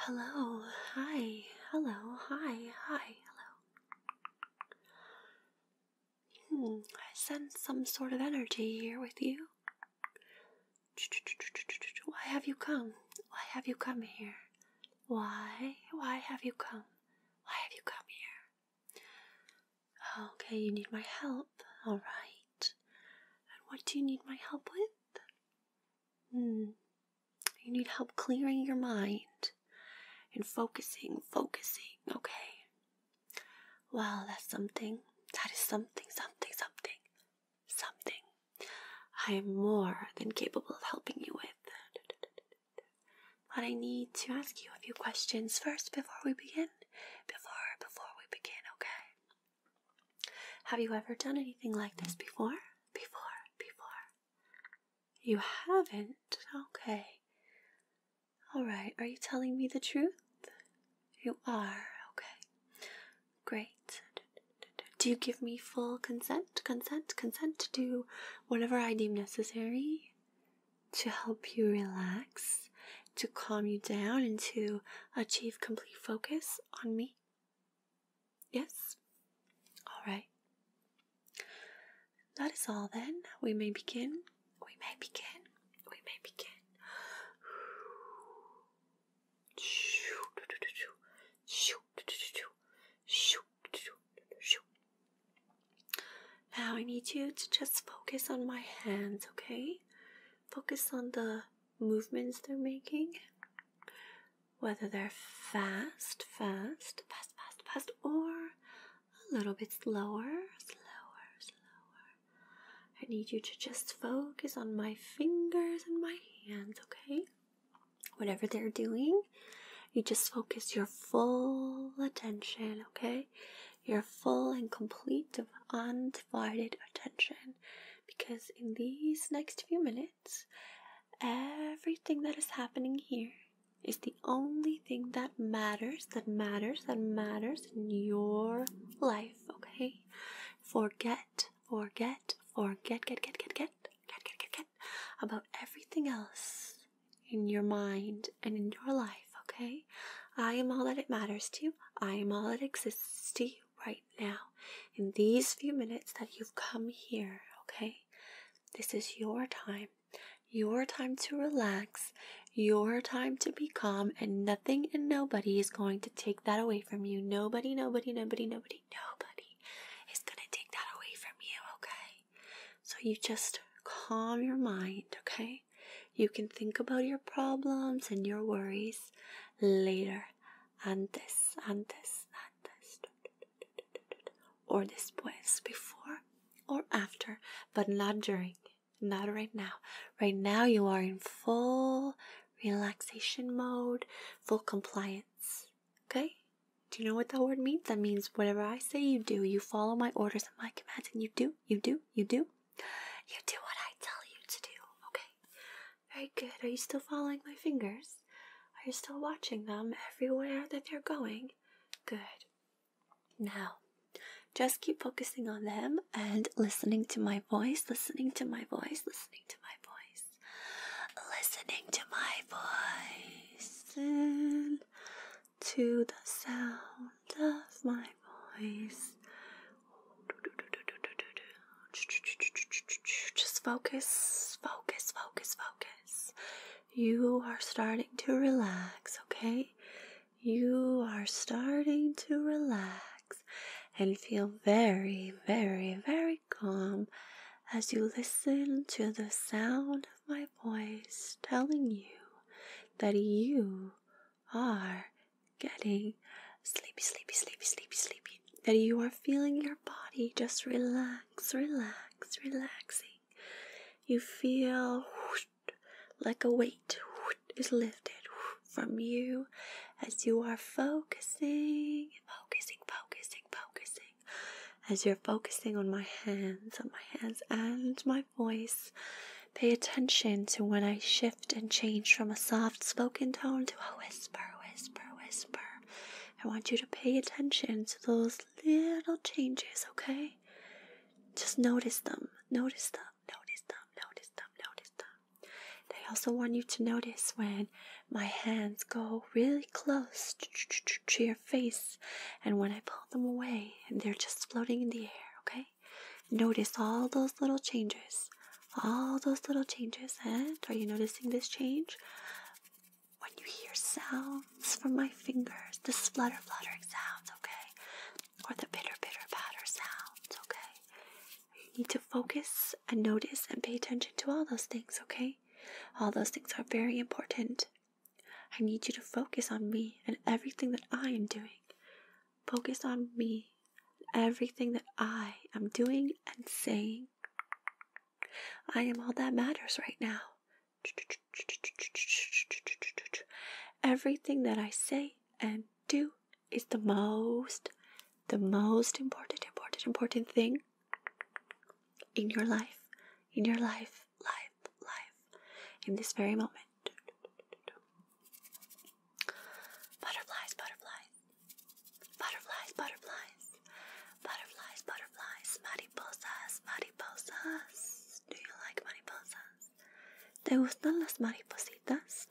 Hello, hi, hello, hi, hi, hello. Hmm, I sense some sort of energy here with you. Why have you come? Why have you come here? Why? Why have you come? Why have you come here? Okay, you need my help. Alright. And what do you need my help with? Hmm. You need help clearing your mind and focusing, focusing. Okay. Well, that's something. That is something, something, something, something. I am more than capable of helping you with but I need to ask you a few questions first before we begin. Before before we begin, okay? Have you ever done anything like this before? Before, before. You haven't? Okay. Alright, are you telling me the truth? You are, okay. Great. Do you give me full consent? Consent? Consent to do whatever I deem necessary? to help you relax, to calm you down, and to achieve complete focus on me? Yes? All right. That is all then. We may begin. We may begin. We may begin. Now I need you to just focus on my hands, okay? Focus on the movements they're making. Whether they're fast, fast, fast, fast, fast, or a little bit slower, slower, slower. I need you to just focus on my fingers and my hands, okay? Whatever they're doing, you just focus your full attention, okay? your full and complete, undivided attention. Because in these next few minutes, everything that is happening here is the only thing that matters, that matters, that matters in your life, okay? Forget, forget, forget, get, get, get, get, get, get, get, get about everything else in your mind and in your life, okay? I am all that it matters to you. I am all that exists to you right now. In these few minutes that you've come here, okay? This is your time. Your time to relax, your time to be calm, and nothing and nobody is going to take that away from you. Nobody, nobody, nobody, nobody, nobody is going to take that away from you, okay? So you just calm your mind, okay? You can think about your problems and your worries later. and and this, this, and this, Or this, después, before or after, but not during. Not right now. Right now, you are in full relaxation mode, full compliance. Okay? Do you know what that word means? That means whatever I say you do, you follow my orders to my commands and you do, you do, you do. You do what I tell you to do, okay? Very good. Are you still following my fingers? Are you still watching them everywhere that they're going? Good. Now, just keep focusing on them and listening to my voice, listening to my voice, listening to my voice, listening to my voice to the sound of my voice. Just focus, focus, focus, focus. You are starting to relax, okay? You are starting to relax and feel very, very, very calm as you listen to the sound my voice telling you that you are getting sleepy, sleepy, sleepy, sleepy, sleepy. That you are feeling your body just relax, relax, relaxing. You feel like a weight is lifted from you as you are focusing, focusing, focusing, focusing as you're focusing on my hands, on my hands and my voice. Pay attention to when I shift and change from a soft spoken tone to a whisper, whisper, whisper. I want you to pay attention to those little changes, okay? Just notice them, notice them, notice them, notice them, notice them. And I also want you to notice when my hands go really close to your face and when I pull them away and they're just floating in the air, okay? Notice all those little changes. All those little changes. And are you noticing this change? When you hear sounds from my fingers, the splutter, fluttering sounds, okay? Or the pitter pitter patter sounds, okay? You need to focus and notice and pay attention to all those things, okay? All those things are very important I need you to focus on me and everything that I am doing. Focus on me and everything that I am doing and saying. I am all that matters right now. Everything that I say and do is the most, the most important, important, important thing in your life, in your life, life, life in this very moment. Butterflies, butterflies, butterflies, butterflies, butterflies, butterflies, mariposas, mariposas. Do you like mariposas? ¿Te gustan las maripositas?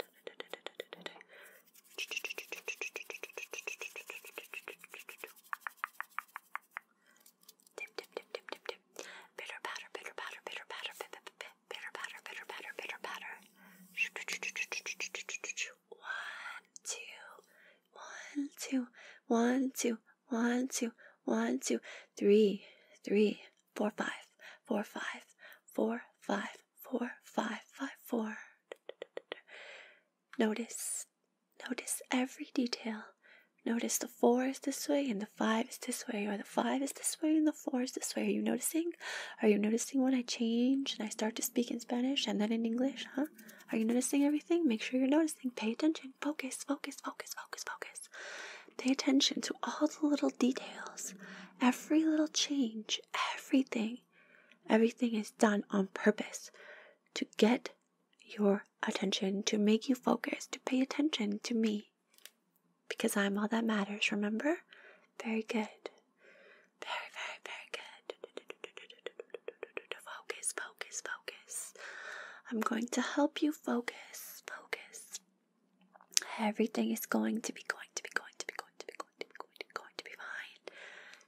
Dip, dip, dip, dip, dip, dip. Bitter powder, bitter powder, bitter powder, bitter powder, bitter powder, bitter powder, bitter powder. One, two, one, two, one, two, one, two, one, two, three, three, four, five, four, five, four, five, four, five, five, four. Notice Notice every detail. Notice the four is this way and the five is this way, or the five is this way and the four is this way. Are you noticing? Are you noticing when I change and I start to speak in Spanish and then in English? Huh? Are you noticing everything? Make sure you're noticing. Pay attention. Focus, focus, focus, focus, focus. Pay attention to all the little details, every little change, everything. Everything is done on purpose to get your attention, to make you focus, to pay attention to me. Because I'm all that matters, remember? Very good. Very, very, very good. Focus, focus, focus. I'm going to help you focus, focus. Everything is going to be going to be going to be going to be going to be going to be, going to be fine.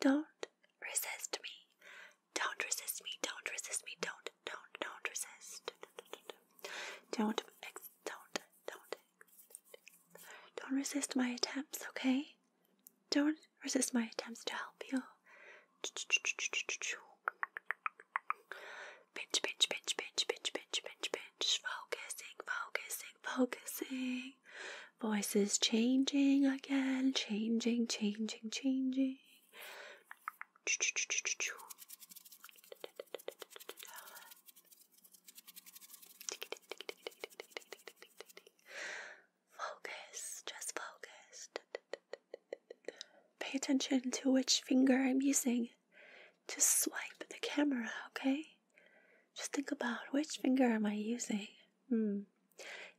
don't resist me. Don't resist me. Don't resist me. Don't, don't, don't resist. Don't, ex don't, don't, don't resist my attempts, okay? Don't resist my attempts to help you. Pinch, pinch, pinch, pinch, pinch, pinch, pinch, pinch. Focusing, focusing, focusing changing, voices changing again, changing, changing, changing. Focus, just focus. Pay attention to which finger I'm using to swipe the camera, okay? Just think about which finger am I using? Hmm.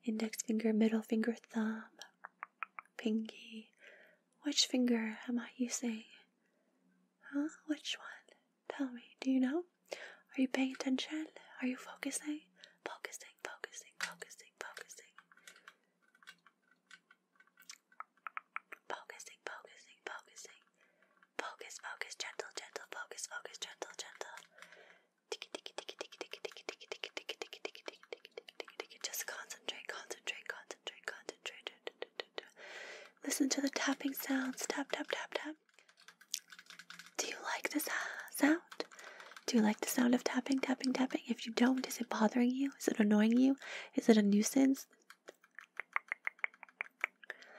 Index finger, middle finger, thumb, pinky. Which finger am I using? Huh? Which one? Tell me. Do you know? Are you paying attention? Are you focusing? Focusing, focusing, focusing, focusing. Focusing, focusing, focusing. Focus, focus, gentle, gentle, focus, focus, gentle, gentle. Just concentrate, concentrate, concentrate, concentrate. Listen to the tapping sounds. Tap, tap, tap, tap. Do you like this sound? Do you like the sound of tapping, tapping, tapping? If you don't, is it bothering you? Is it annoying you? Is it a nuisance?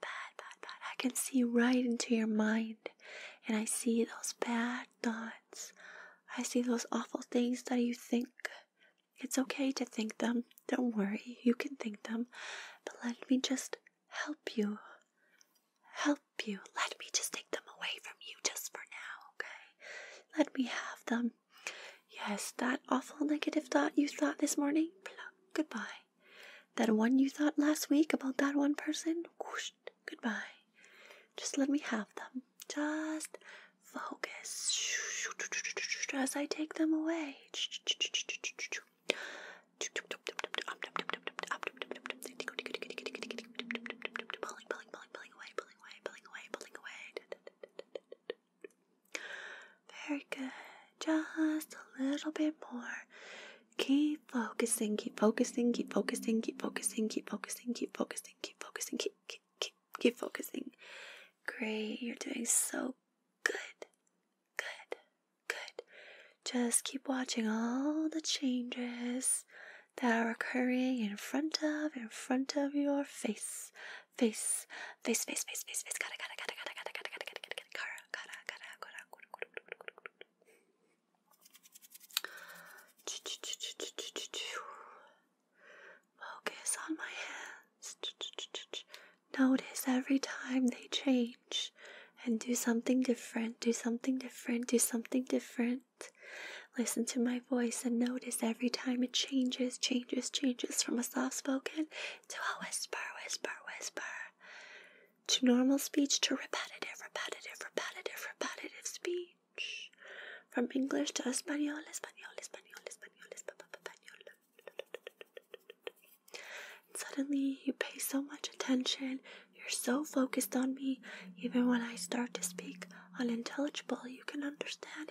bad, bad, bad. I can see right into your mind. And I see those bad thoughts. I see those awful things that you think. It's okay to think them. Don't worry, you can think them. But let me just help you. Help you. Let me just take them away from you just for now, okay? Let me have them. Yes, that awful negative thought you thought this morning, goodbye. That one you thought last week about that one person, whoosh, goodbye. Just let me have them. Just focus as I take them away. Pulling, pulling, pulling, pulling away, pulling away, pulling away, pulling away. Very good. Just a little bit more. Keep focusing, keep focusing, keep focusing, keep focusing, keep focusing, keep focusing, keep focusing, keep keep keep, keep focusing. Great, you're doing so good. Good. Good. Just keep watching all the changes that are occurring in front of in front of your face face, face, face, face, face, face, gotta, gotta, gotta, gotta, gotta, gotta, gotta, gotta, gotta, gotta, gotta, gotta, gotta, Focus on my hands. Notice every time they change and do something different, do something different, do something different. Listen to my voice and notice every time it changes, changes, changes from a soft spoken to a whisper, whisper, whisper, to normal speech, to repetitive, repetitive, repetitive, repetitive speech, from English to Espanol, Espanol, Espanol, Espanol, Espanol. And suddenly, you pay so much attention, you're so focused on me, even when I start to speak unintelligible, you can understand.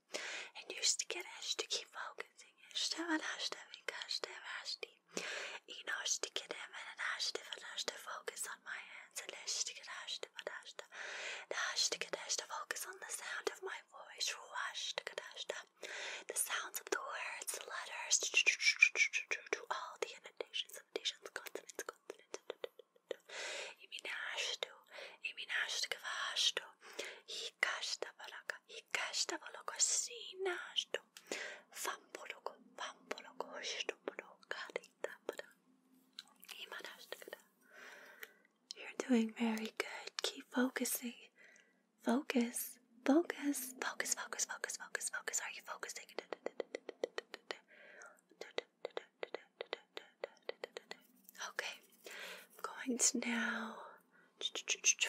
and used to get hashtag volgensing, hashtag en hashtag en hashtag hashtag. En hashtag dem en en hashtag en hashtag focus on my hands and hashtag en hashtag en hashtag. The hashtag en hashtag focus on the sound of my voice through hashtag en hashtag. The sounds of the words, letters, to all the annotations, annotations, consonants, consonants. You're doing very good. Keep focusing. Focus, focus, focus, focus, focus, focus, focus. Are you focusing? Okay, I'm going to now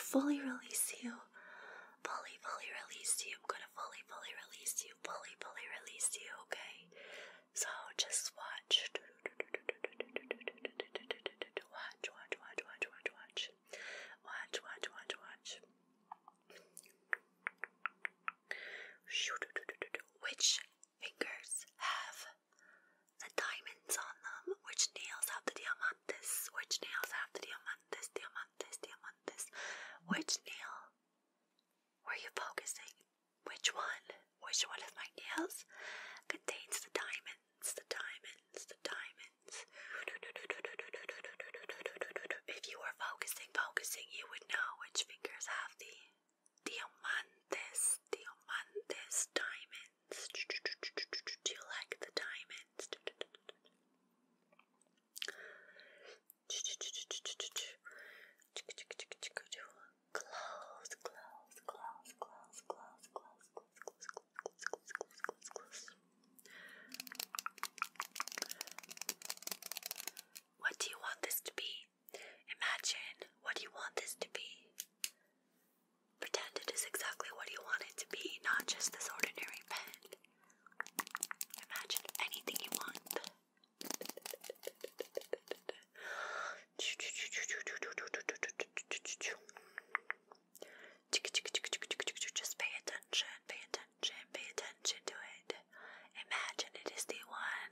fully release you. Fully, fully release you. I'm gonna fully, fully release you. Fully, fully release you, okay? So just watch. Watch, watch, watch, watch, watch, watch. Watch, watch, watch, watch. Which fingers have the diamonds on them, which nails have the diamantes, which nails have the diamantes, diamantes, diamantes. Which nail were you focusing? Which one? Which one of my nails contains the diamonds, the diamonds, the diamonds? If you were focusing, focusing, you would know which fingers have the Diamantes, diamantes, diamonds. Do you like the diamonds? Close, close, close, close, close, close, close, close, close, close, close, close. What do you want this to be? Imagine what you want this to be. Pretend it is exactly what you want it to be, not just this ordinary pen. Imagine anything you want. Just pay attention, pay attention, pay attention to it. Imagine it is the one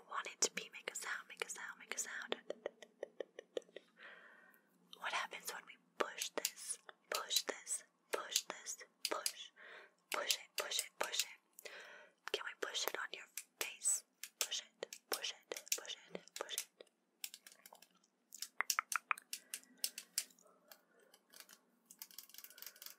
want it to be. Make a sound, make a sound, make a sound. What happens when we push this? Push this, push this, push. Push it, push it, push it. Can we push it on your face? Push it, push it, push it, push it.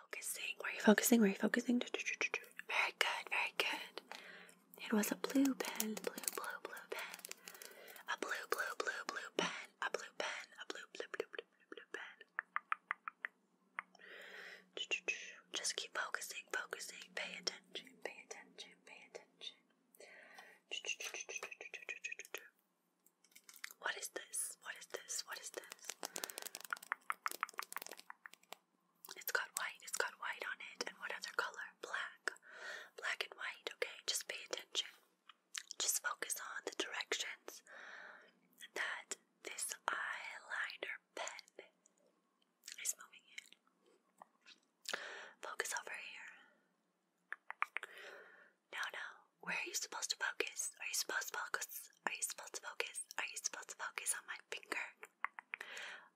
focusing? Were you focusing? Were you focusing? Very good, very good. It was a blue pen, blue, blue, blue pen. A blue, blue, blue, blue pen. A blue pen, a blue, blue, blue, blue, blue, blue pen. Just keep focusing, focusing. Pay attention, pay attention, pay attention. What is this? What is this? What is this? It's got white. It's got white on it. And what other color? Black. Black and white. Okay, just pay attention. Just focus on the directions that this eyeliner pen is moving in. Focus over here. No, no where are you supposed to focus? Are you supposed to focus? Are you supposed to focus? Are you supposed to focus on my finger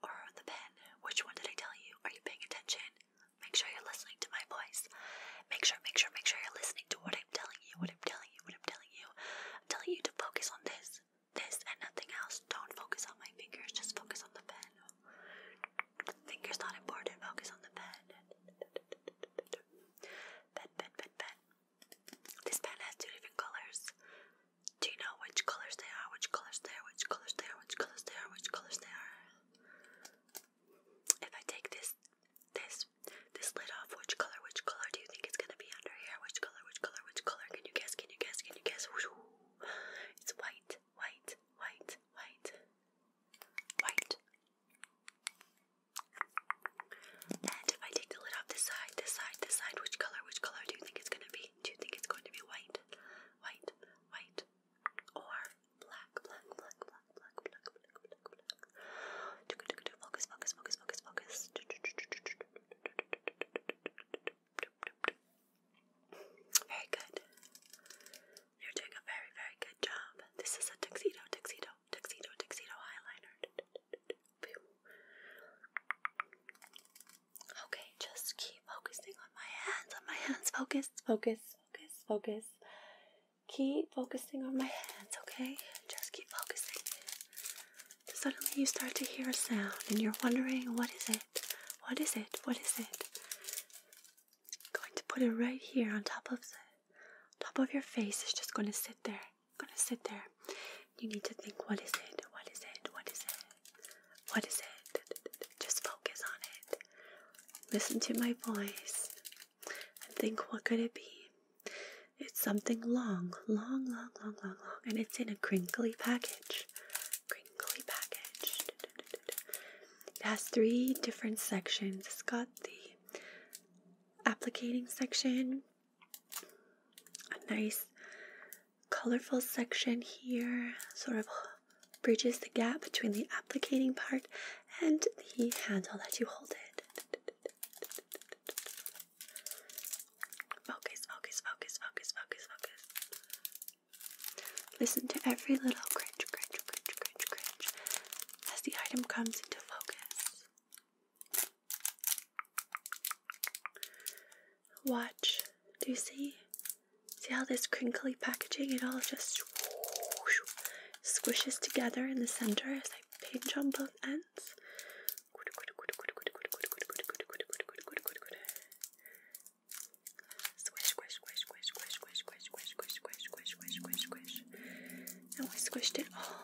or on the pen? Which one did I tell you? Are you paying attention? Make sure you're listening to my voice. Make sure, make sure, make sure you're listening to what I'm telling you, what I'm telling you, what I'm telling you. I'm telling you to focus on this, this, and nothing else. Don't focus on my fingers, just focus on the pen. Fingers not important, focus on the pen. Pen, pen, pen, pen. This pen has two different colors. Do you know which colors they are? Which colors they are? Which colors they are? Which colors they are? Which colors they are? If I take this, this, this lid off, which color? Which color do you think it's gonna be under here? Which color? Which color? Which color? Can you guess? Can you guess? Can you guess? It's white, white, white, white, white. And if I take the lid off this side, this side, this side, which color, which color do you think it's gonna be? Do you think it's going to be white, white, white, or black, black, black, black, black, black, Focus, focus, focus, focus, focus. Very good. You're doing a very, very good job. This is a tuxedo, tuxedo, tuxedo, tuxedo, eyeliner. Okay, just keep focusing on my hands, on my hands. Focus, focus, focus, focus. Keep focusing on my hands, okay? Just keep focusing. Suddenly you start to hear a sound and you're wondering, what is it? What is it? What is it? going to put it right here on top of the top of your face is just gonna sit there. Gonna sit there. You need to think what is it? What is it? What is it? What is it? Just focus on it. Listen to my voice and think what could it be? It's something long, long, long, long, long, long, and it's in a crinkly package. Crinkly package. It has three different sections. It's got the applicating section, a nice colorful section here, sort of bridges the gap between the applicating part and the handle that you hold it. Focus, focus, focus, focus, focus, focus. Listen to every little cringe, cringe, cringe, cringe, cringe as the item comes into focus. Watch. Do you see? See how this crinkly packaging, it all just whoosh, squishes together in the center as I pinch on both ends? Squish, squish, squish, squish, squish, squish, squish, squish, squish, squish, squish, squish, squish. And oh, I squished it all.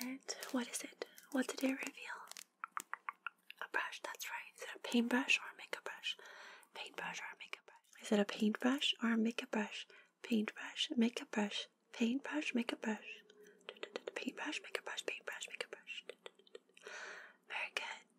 And what is it? What did it reveal? A brush, that's right. Is it a paintbrush or a makeup brush? Paintbrush or a makeup brush? Is it a paintbrush or a makeup brush? Paintbrush, makeup brush, paintbrush, makeup brush. Paintbrush, makeup brush, paintbrush, makeup brush. Very good.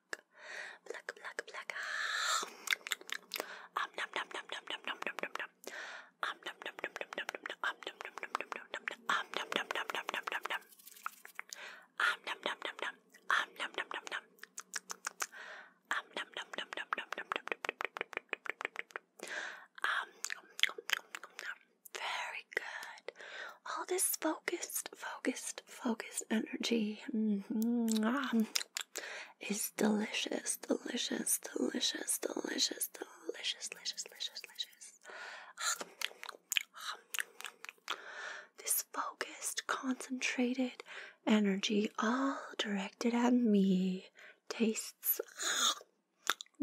pluck, pluck, pluck, pluck. Um, num, num, num, num, num, num, num, num. Um, num, num, num, num, num, num, um, num, num, num, num, num, num, um, num, num, num, num, num, num, num. Um, num, num, num, num, um, num, num, num, num. Um, num, num, num, num, num, num, num, num. Um, very good. All this focused, focused, focused energy. Mm it's delicious, delicious, delicious, delicious, delicious, delicious, delicious, delicious. This focused, concentrated energy, all directed at me, tastes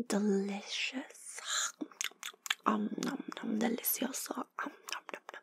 delicious. Um, nom, nom, delicioso. Um, nom, nom, nom.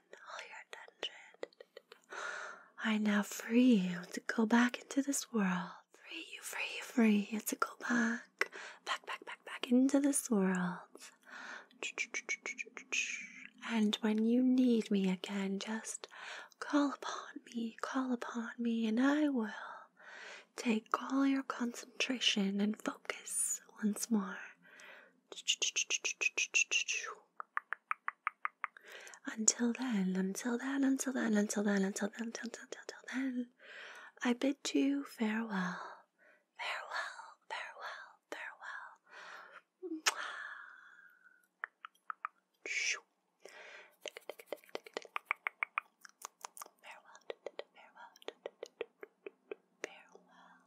I now free you to go back into this world. Free you, free you, free you to go back, back, back, back, back into this world. And when you need me again, just call upon me, call upon me, and I will take all your concentration and focus once more. Until then, until then, until then, until then, until then, until, until, until then, I bid you farewell. Farewell, farewell, farewell. Farewell, farewell, farewell.